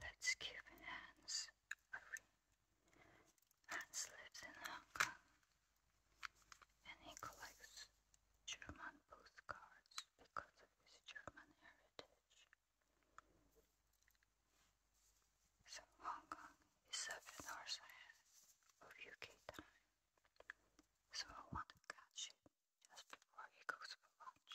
Let's keep Hans a Hans lives in Hong Kong and he collects German postcards because of his German heritage. So Hong Kong is up north side of UK time. So I want to catch it just before he goes for lunch.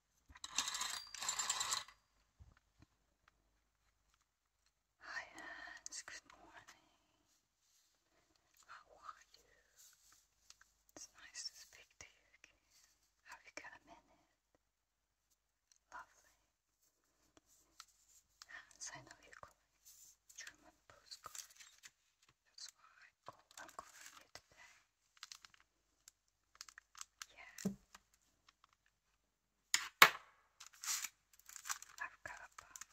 Hi Hans, good morning. How are you? It's nice to speak to you again. Have you got a minute? Lovely. Hans, I know you collect German postcards. That's why I'm calling you today. Yeah. I've got about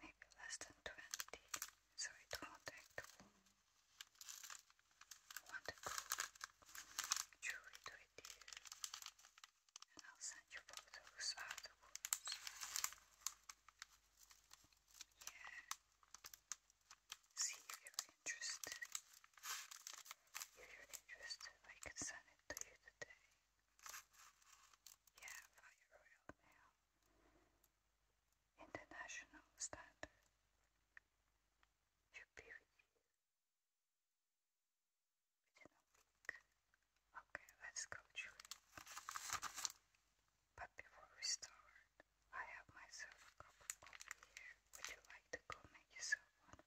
maybe less than 20, so it won't take too long. to go through it with you, and I'll send you photos afterwards. Yeah. See you interested. If you're interested, I can send it to you today. Yeah, via Royal International Standard. you be with you Okay, let's go to it. But before we start, I have myself a cup of coffee here. Would you like to go make yourself one?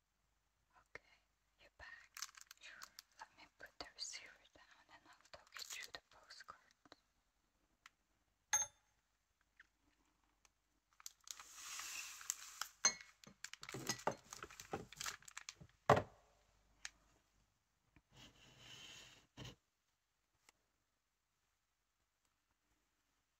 Okay, you're back. Let me put the receiver down and I'll talk you through the postcard.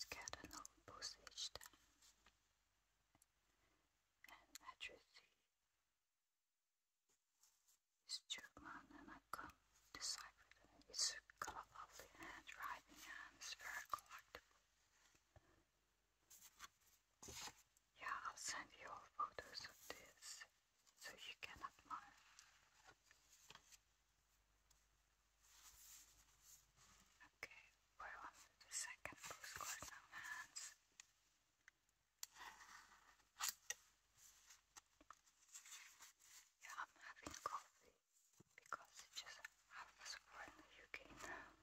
scatter notebooks and accuracy is and I could decipher them. It's got a lovely handwriting and it's Yeah, I'll send you all photos of this so you can admire. Okay, we're on to the second postcard now, hands. Yeah, I'm having coffee because it's just half past four in the UK now.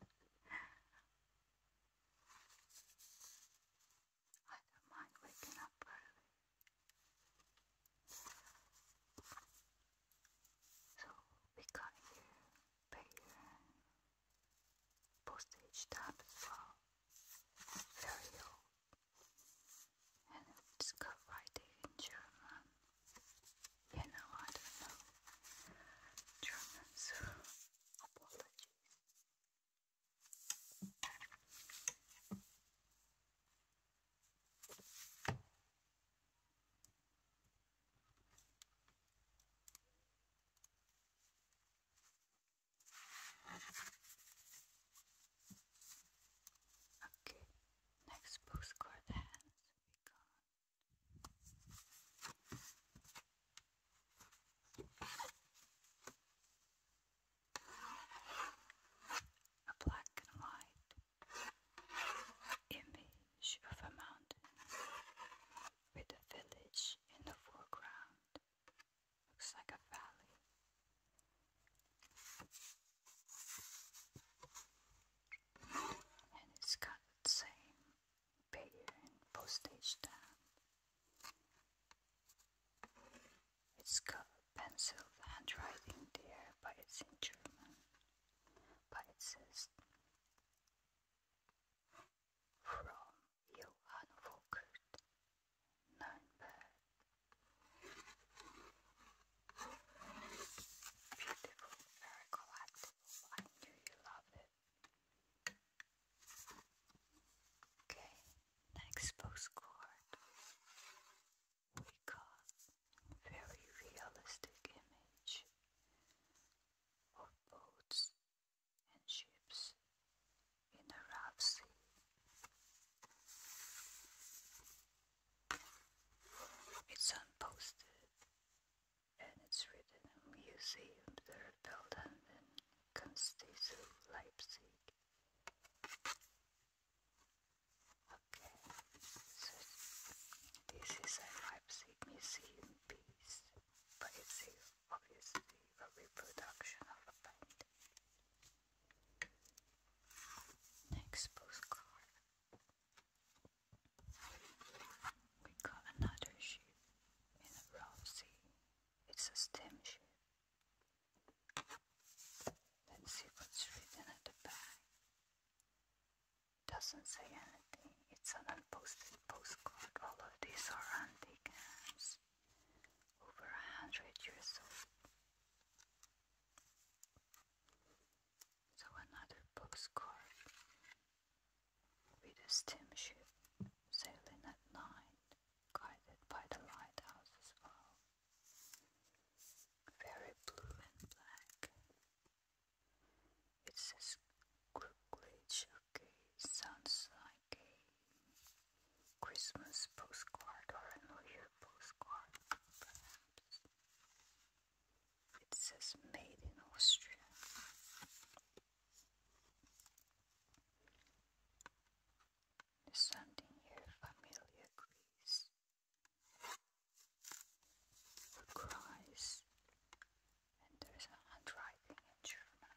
I don't mind waking up early. So we got your postage stamp as well. Very And it's got writing in German. You know, I don't know German, so apologies. Okay, next postcard hands we got a black and white Image of a mountain with a village in the foreground. Looks like a valley. And it's the same payer and postage stamp. It's got pencil handwriting there, but it's in German. But it says from Johann Volkert, Nürnberg. Beautiful, very collectible. I knew you love it. Okay, next postcard we got very realistic image of boats and ships in the Rough Sea. It's unposted and it's written in a museum that are in Leipzig. Okay. this is a Leipzig museum piece, but it's obviously a reproduction of a painting. Next postcard. We got another ship in a rousey. It's a steam ship. Let's see what's written at the back. Doesn't say anything. It's an unposted postcard. All of these are antique over a hundred years old. So another postcard with a steamship sailing at night, guided by the lighthouse as well very blue and black. It says quickly showcase, sounds like a Christmas postcard or a New Year postcard, perhaps. It says made in Austria. There's something here, familiar Greece cries, and there is handwriting in German.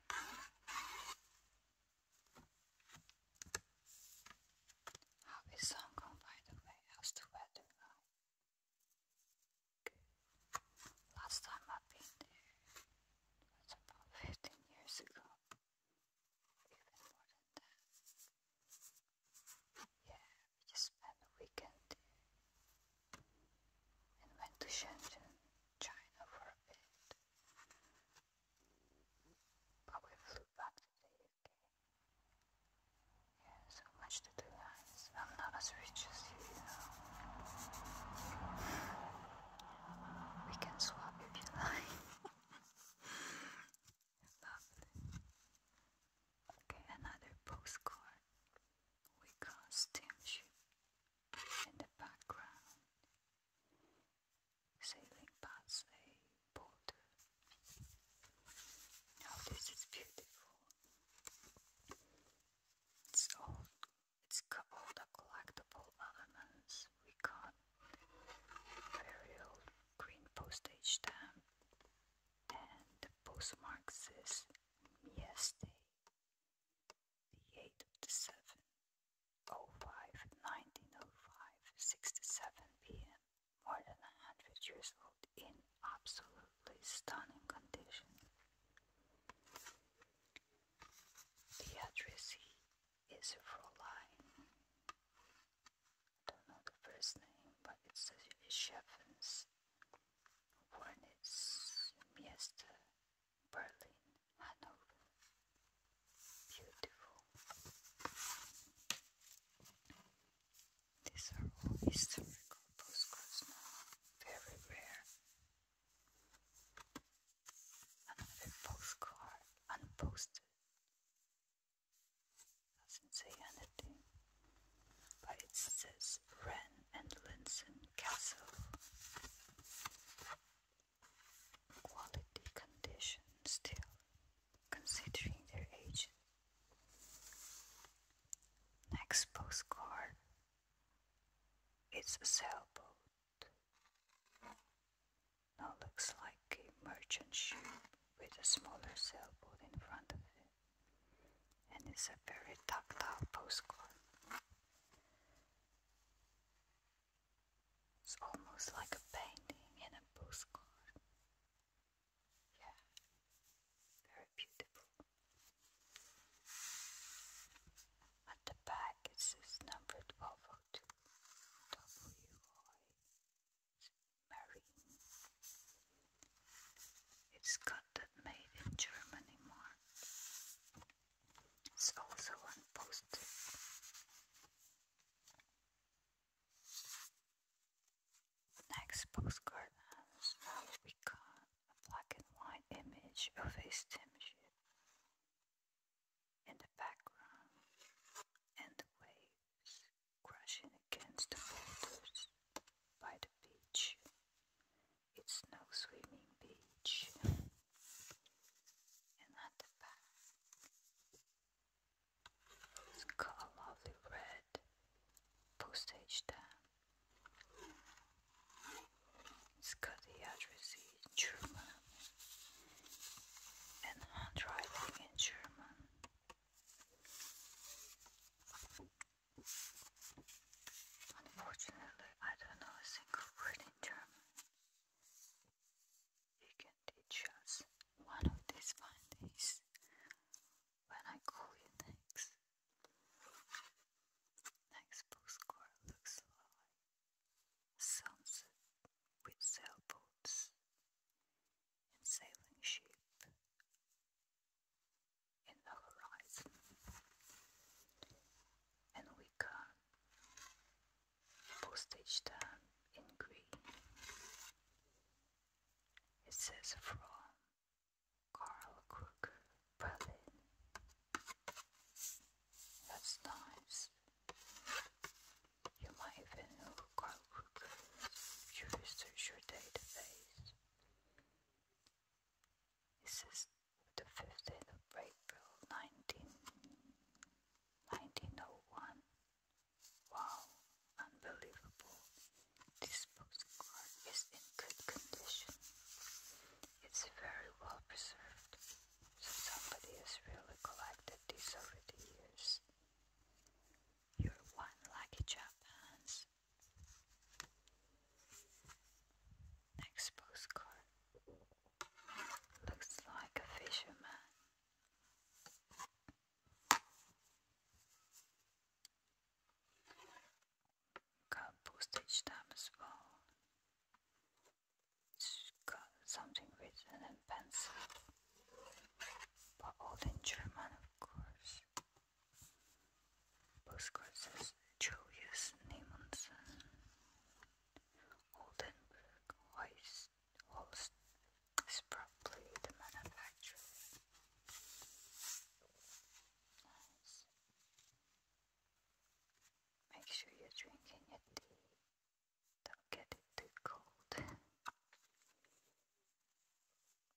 How is Hong Kong, by the way? How's the weather Last time I've been there was about 15 years ago even more than that. Yeah, we just spent a weekend there and went to Shenzhen, China for a bit. But we flew back to the UK. Yeah, so much to do, I'm not as rich as you, you know. We can swap if you like. Lovely. Okay, another postcard. We got steamship in the background. Sailing past a border. Now this is beautiful. It's all it's got all the collectible elements. We got very old green postage stamp and the postmark says Yes the 8th of the 7th, 05, 1905, 7 p.m., more than 100 years old in absolutely stunning condition. The addressee is Fräulein don't know the first name, but it's Sheffens. Born in Mieste, Berlin, Hanover. Beautiful. These are all historical postcards now, very rare. Another postcard, unposted doesn't say anything, but it says Wren and Linson Castle. Quality condition still, considering their age. Next postcard, it's a sailboat. Now looks like bulky merchant ship with a smaller sailboat in front of it, and it's a very tactile postcard. It's almost like a painting in a postcard. Yeah, very beautiful. At the back it says number 1202 W I marine. It's got that made in Germany mark. It's also on post Next postcard has we got a black and white image of a steamship in the background and the waves crashing against the boulders by the beach. It's no swimming beach. and at the back, it's got a lovely red postage stamp. It's got the address in German and handwriting in German. Unfortunately, I don't know a single word in German. You can teach us one of these fine when I call you next. Next book looks like sunset with sailboats and sailing ship in the horizon, and we can postage stamp in green. It says from Karl Krug, Berlin. That's nice. You might even go you research your database. This is the 15th of April 19, Wow, unbelievable. This postcard is in good condition. It's very well preserved. So somebody has really collected these over the years. You're one lucky Japan's. Next postcard looks like a fisherman. Got postage stamp as well. It's got something written in pencil but all in German, of course. Postcards is Julius Nemonson, Oldenburg, Holst, Holst is probably the manufacturer. Make sure you're drinking your tea. Don't get it too cold.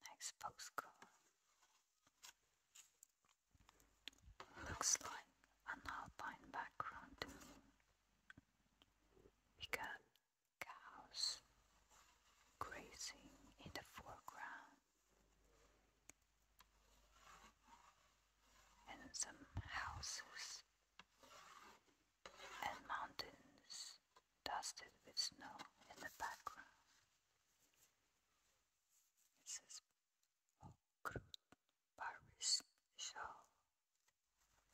Next postcard. Looks like an alpine background We got cows grazing in the foreground and some houses and mountains dusted with snow in the background. Mrs. Okrut Paris Shaw,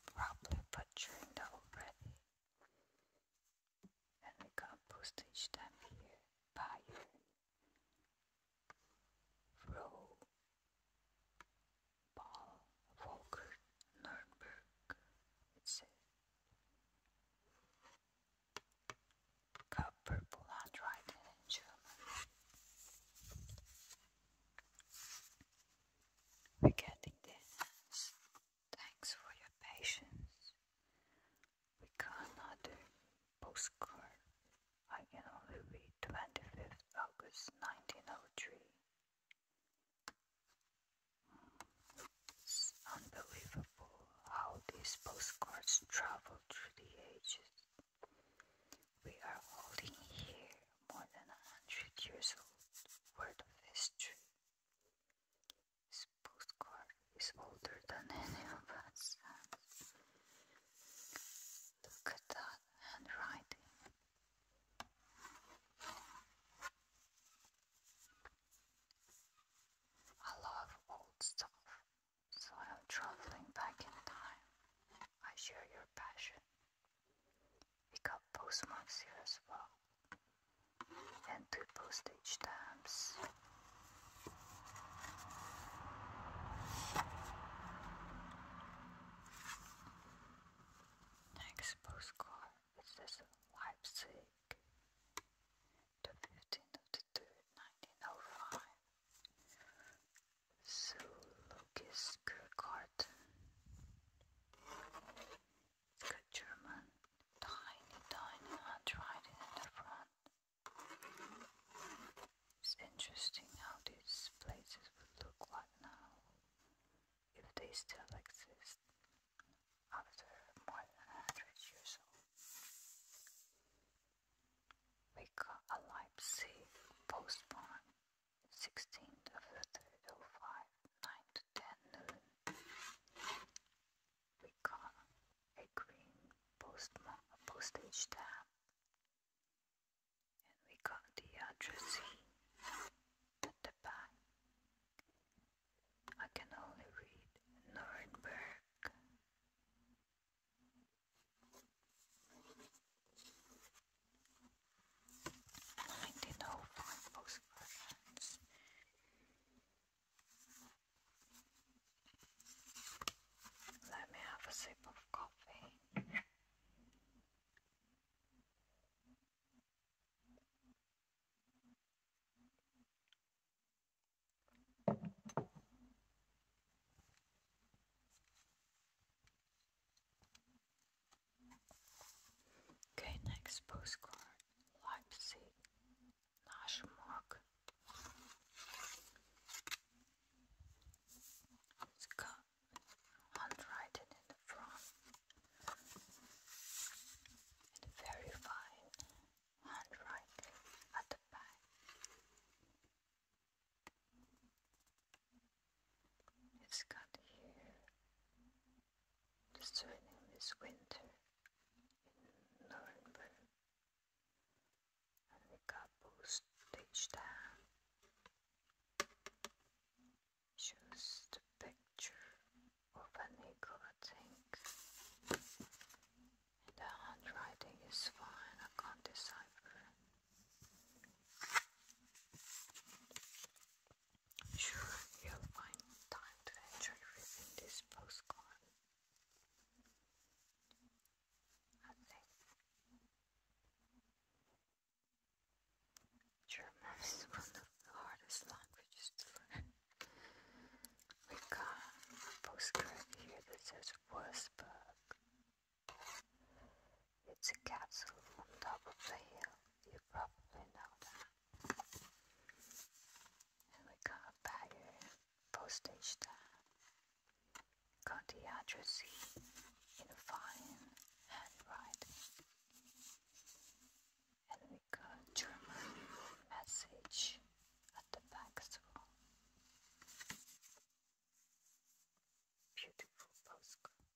probably butchering the already. And we compost each time here by year. Row Ball Walker Nuremberg, it says. Copper blood in German. We're getting this. Thanks for your patience. We got another postcard. I can only read 25th August 1903. It's unbelievable how these postcards travel through the ages. We are holding here more than a hundred years old Word of history. This postcard is older than any of us. Look at that handwriting. I love old stuff, so I'm traveling back in time. I share your passion. We got postmarks here as well, and two postage stamps. Next postcard, it says Leipzig, the 15th of the 3rd, 1905, Zoologist Garten, a German tiny, tiny handwriting in the front. It's interesting how these places would look like now, if they still exist after more than a hundred years old. We got a Leipzig postmark, sixteen of the 3rd, 05, 9 to 10 noon. We got a green postmark, a postage stamp, and we got the address at the back. I can only read Nuremberg. Nineteen oh five books versions. Let me have a sip of coffee. Okay, next postcard Leipzig, Naschmark. It's got handwriting in the front very fine handwriting at the back. It's got here discerning this winter in Nuremberg, and we got both staged down shows the picture of an eagle, I think. the handwriting is fine, I can't decipher. Sure, you'll find time to enjoy reading this postcard. I think German is one of the hardest languages to learn. we got a postcard here that says Wurzburg. It's a castle on top of the hill. You probably know that. And we got a bagger, postage stamp, got the address in a fine handwriting and we got German message at the back as well. Beautiful postcard.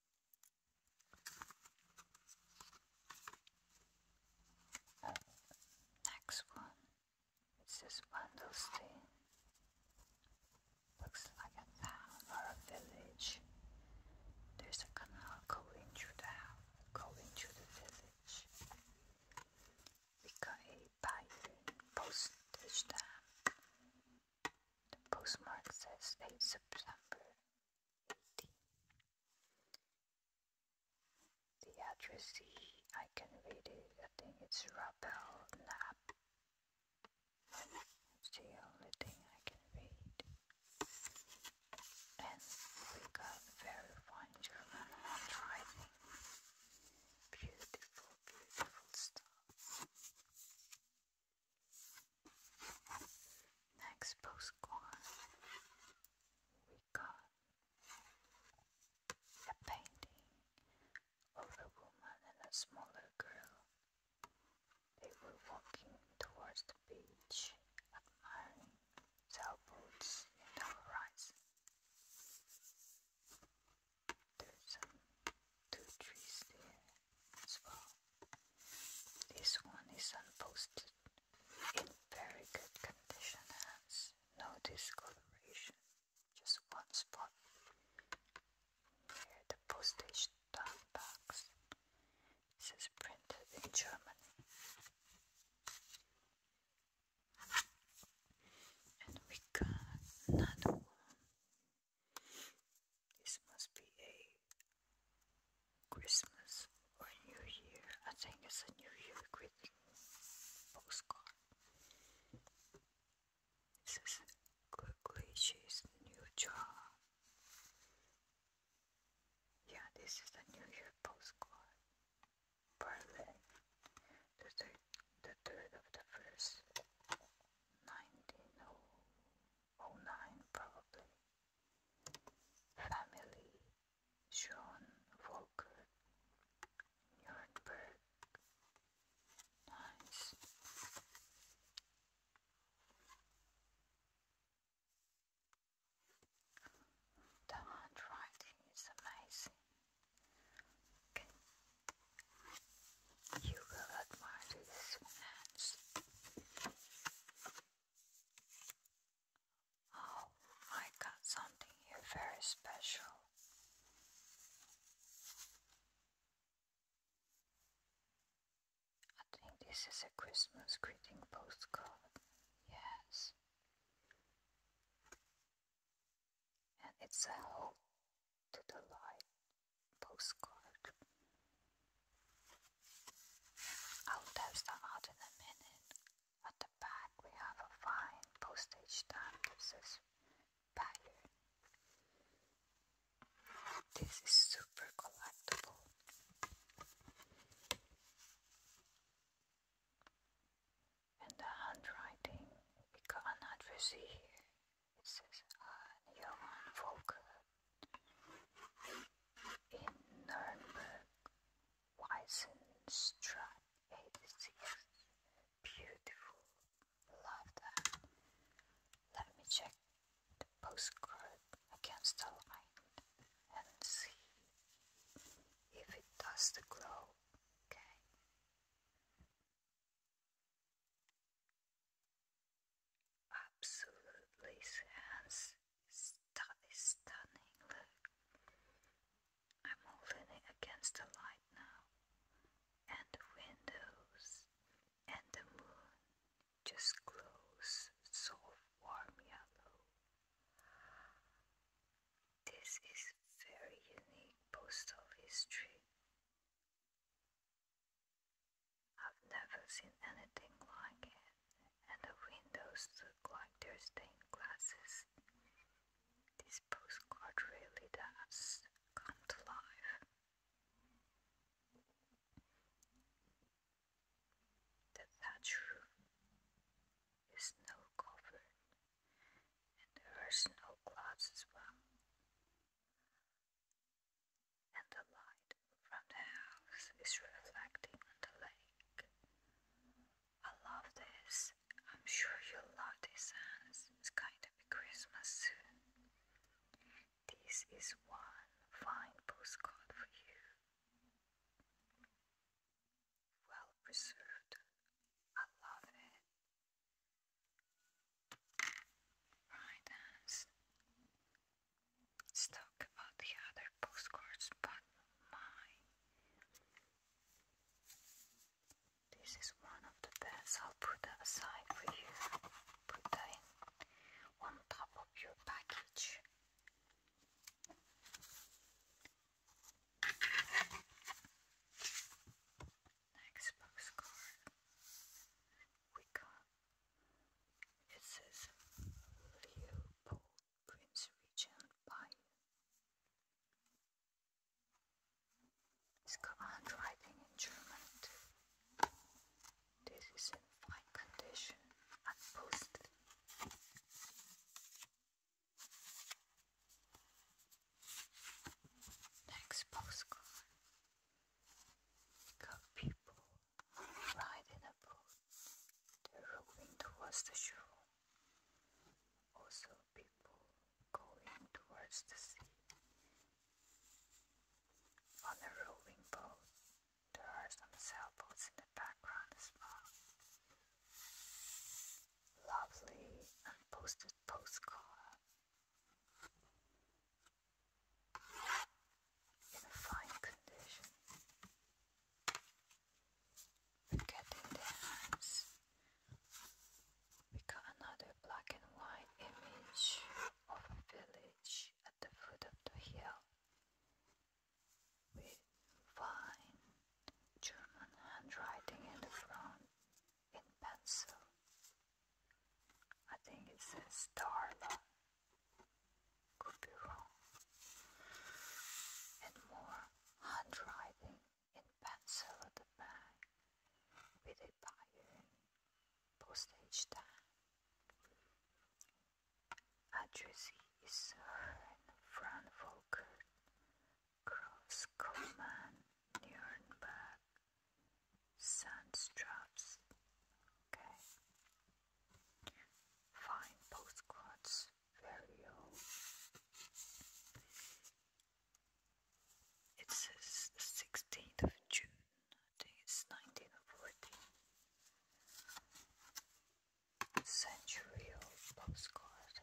next one, it's this bundles Looks like a town or a village. There's a canal going through the house going to the village. We got a bike stamp. The postmark says 8 September 18. The address I can read it. I think it's Rappel It's the only thing I can read and we got very fine German handwriting. Beautiful, beautiful stuff. Next postcard, we got a painting of a woman and a smaller girl. They were walking towards the beach, sailboats in the horizon. There's two trees there as well. This one is unposted, in very good condition, has no discoloration, just one spot near the postage stamp box. This printed in Germany. And we got another one. This must be a Christmas or New Year. I think it's a New Year greeting postcard. It says, Quickly, she's new job. Yeah, this is the New Year postcard. Berlin, the third, the third of the first, 1909 probably. Family, John Volker, Nuremberg. Nice. The handwriting is amazing. You will admire these hands. Oh, I got something here very special. I think this is a Christmas greeting postcard. Yes and it's a home to the light postcard. I'll test them out in a minute. At the back we have a fine postage stamp that says pattern. This is super collectible. And the handwriting, we cannot see here. It says Johann Volker in Nuremberg, Weissenstraat Beautiful. Love that. Let me check the postcard against the line and see if it does the glow, okay? Absolutely hands stunning look. I'm all leaning against the light now, and the windows and the moon just glows so warm yellow this is very unique postal history. I've never seen anything like it, and the windows look like they're stained glasses. This postcard really does come to life. The thatch roof is snow covered, and there are snow clouds as well. And the light from the house is reflecting on the lake. I love this. I'm sure you love this, It's gonna Christmas This is one fine postcard for you well preserved. I love it. Right, as let's talk about the other postcards, but my this is one of the best. I'll put that aside for you. Put that in on top of your package. Next postcard we it says Leopold Prince Regent Bayern. It's got handwriting in German This is in fine condition and posted. Next postcard. Got people riding a boat. They're rowing towards the shore. Also, people going towards the sea on a rowing boat. There are some sailboats in the background as well. Lovely unposted postcard. In fine condition. We get in the hands. We got another black and white image of a village at the foot of the hill with fine German handwriting in the front in pencil. I think it says Darla. Could be wrong. And more handwriting in pencil at the back with a buying postage stamp. Adressee is Herrn von Volker, Großkommand, Okay. Fine postcards, very old. It says the 16th of June, I think it's 1940 century postcard.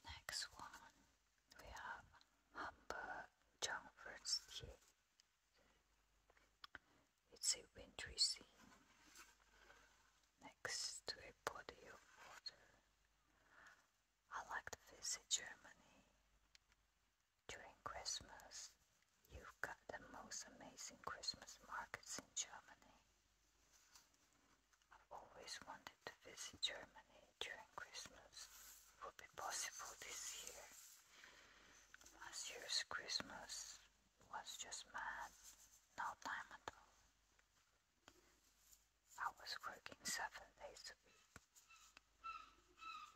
Next one we have Humber Jungfernstier. It's a wintry scene next to a body of water. I like to visit Germany during Christmas You've got the most amazing Christmas markets in Germany. I've always wanted to visit Germany during Christmas. It would be possible this year. Last year's Christmas was just mad. No time at all. I was working seven days a week.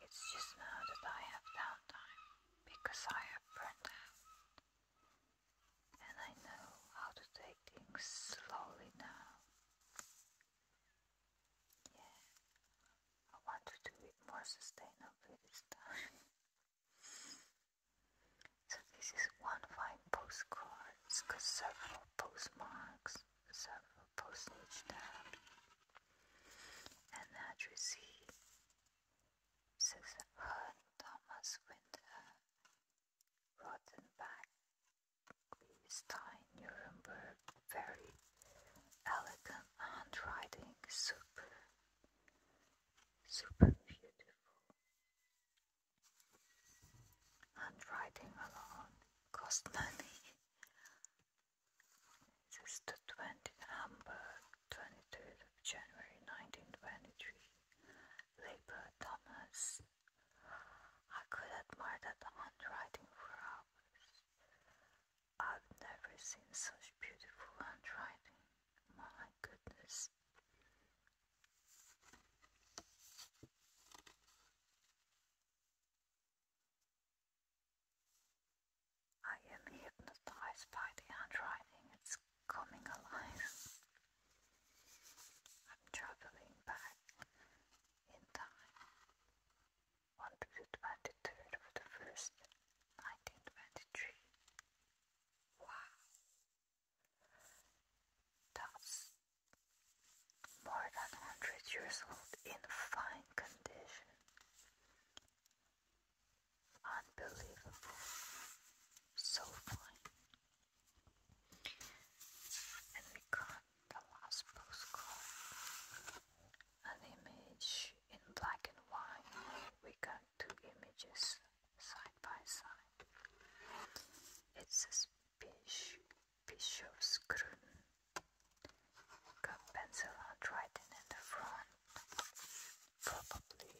It's just now that I have downtime because I have burned out and I know how to take things slowly now. Yeah, I want to do it more sustainably this time. so this is one of my postcards, cause several postmarks, several postage stamps, and that you see Susan Hearn, Thomas Winter, Rothenbach, Stein, very elegant handwriting, super, super beautiful. Handwriting alone cost money. This is the 20 Hamburg. 23rd of January 1923. Labor Thomas. I could admire that handwriting for hours. I've never seen such beautiful handwriting. My goodness. I am hypnotized by the handwriting. It's coming alive. I'm traveling back in time on the 23rd of the 1st, 1923. Wow! That's more than 100 years old in fine condition. Unbelievable. So fine. And we got the last postcard. An image in black and white. We got two images side by side. It says Bish, Bishop's Gruden. Got pencil handwriting in the front probably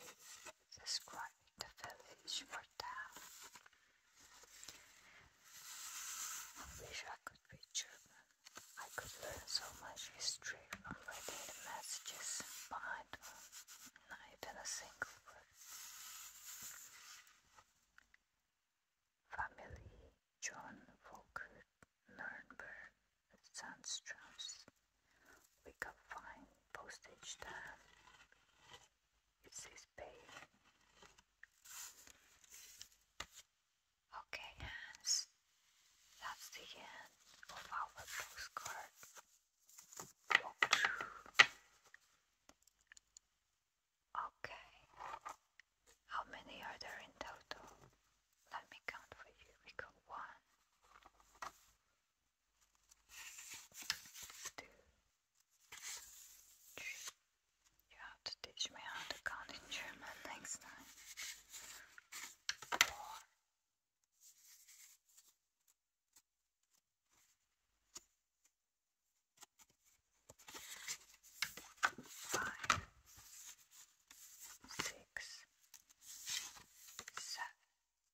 describing the village or town. I wish I could read German. I could learn so much history from reading the messages behind not even a single word. Family John Volker Nurnberg Sandstrom's we can find postage stamp. It says pay. Okay, hands. That's the end of our postcard Okay. How many are there in total? Let me count for you. We got one, you have to teach me how to count in German next time. Four. Five,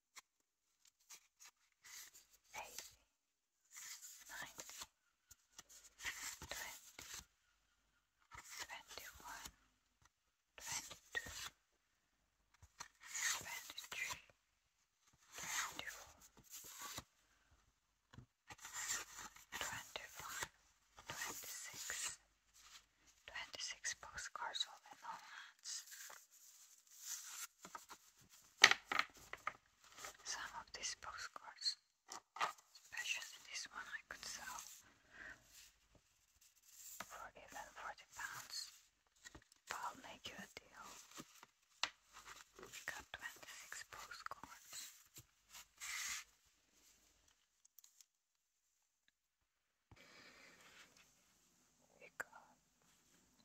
eighteen, nineteen, twenty, twenty-one, twenty-two, twenty-three, twenty-four, twenty-five, twenty-six, twenty-six postcards all in all some of these postcards, especially this one, I could sell for even 40 pounds. I'll make you a deal. We got 26 postcards. We got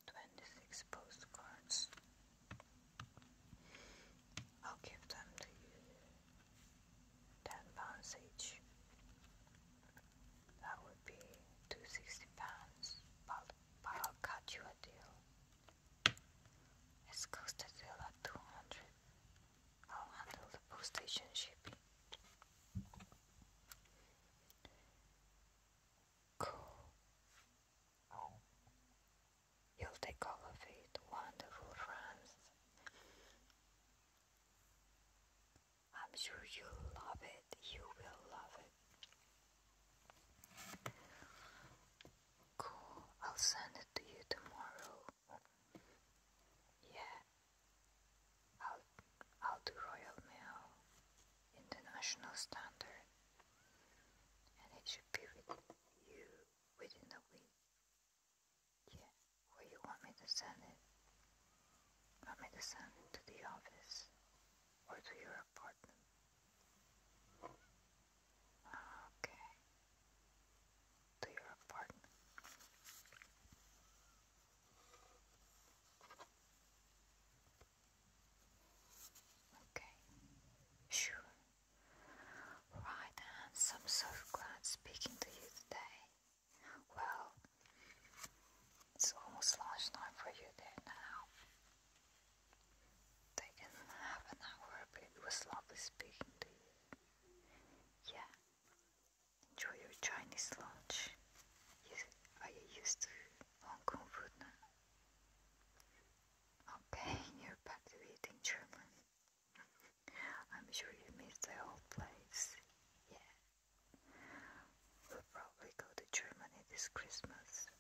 twenty-six postcards. I'll give them to you. Ten pounds each. That would be two sixty pounds. But, but I'll cut you a deal. It's cost a deal at two hundred. I'll handle the postage and shipping. Cool. You'll take all of it. Wonderful, Franz. I'm sure you'll love it. You will love it. Cool. I'll send it to you tomorrow. Yeah. I'll, I'll do Royal Mail International Standard and it should be with you within a week. Yeah, where you want me to send it? Want me to send it to the office or to your apartment? Okay. To your apartment. Okay. Sure. Right, and I'm so glad speaking to you today. Well, it's almost lunchtime for you there now. Taken half an hour, but it was lovely speaking to you. Yeah. Enjoy your Chinese lunch. are you used to Hong food now. Okay, you're back to eating German. I'm sure you missed the old place. Yeah. We'll probably go to Germany this Christmas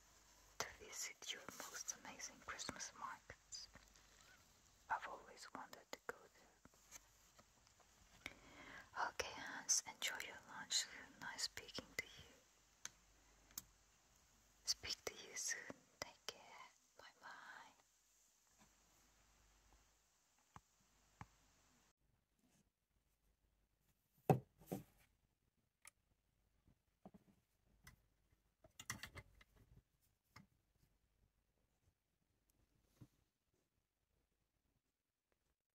to visit your most amazing Christmas markets. I've always wanted to go there. Okay, Hans, enjoy your lunch soon. Nice speaking to you. Speak to you soon. Take care. Bye bye.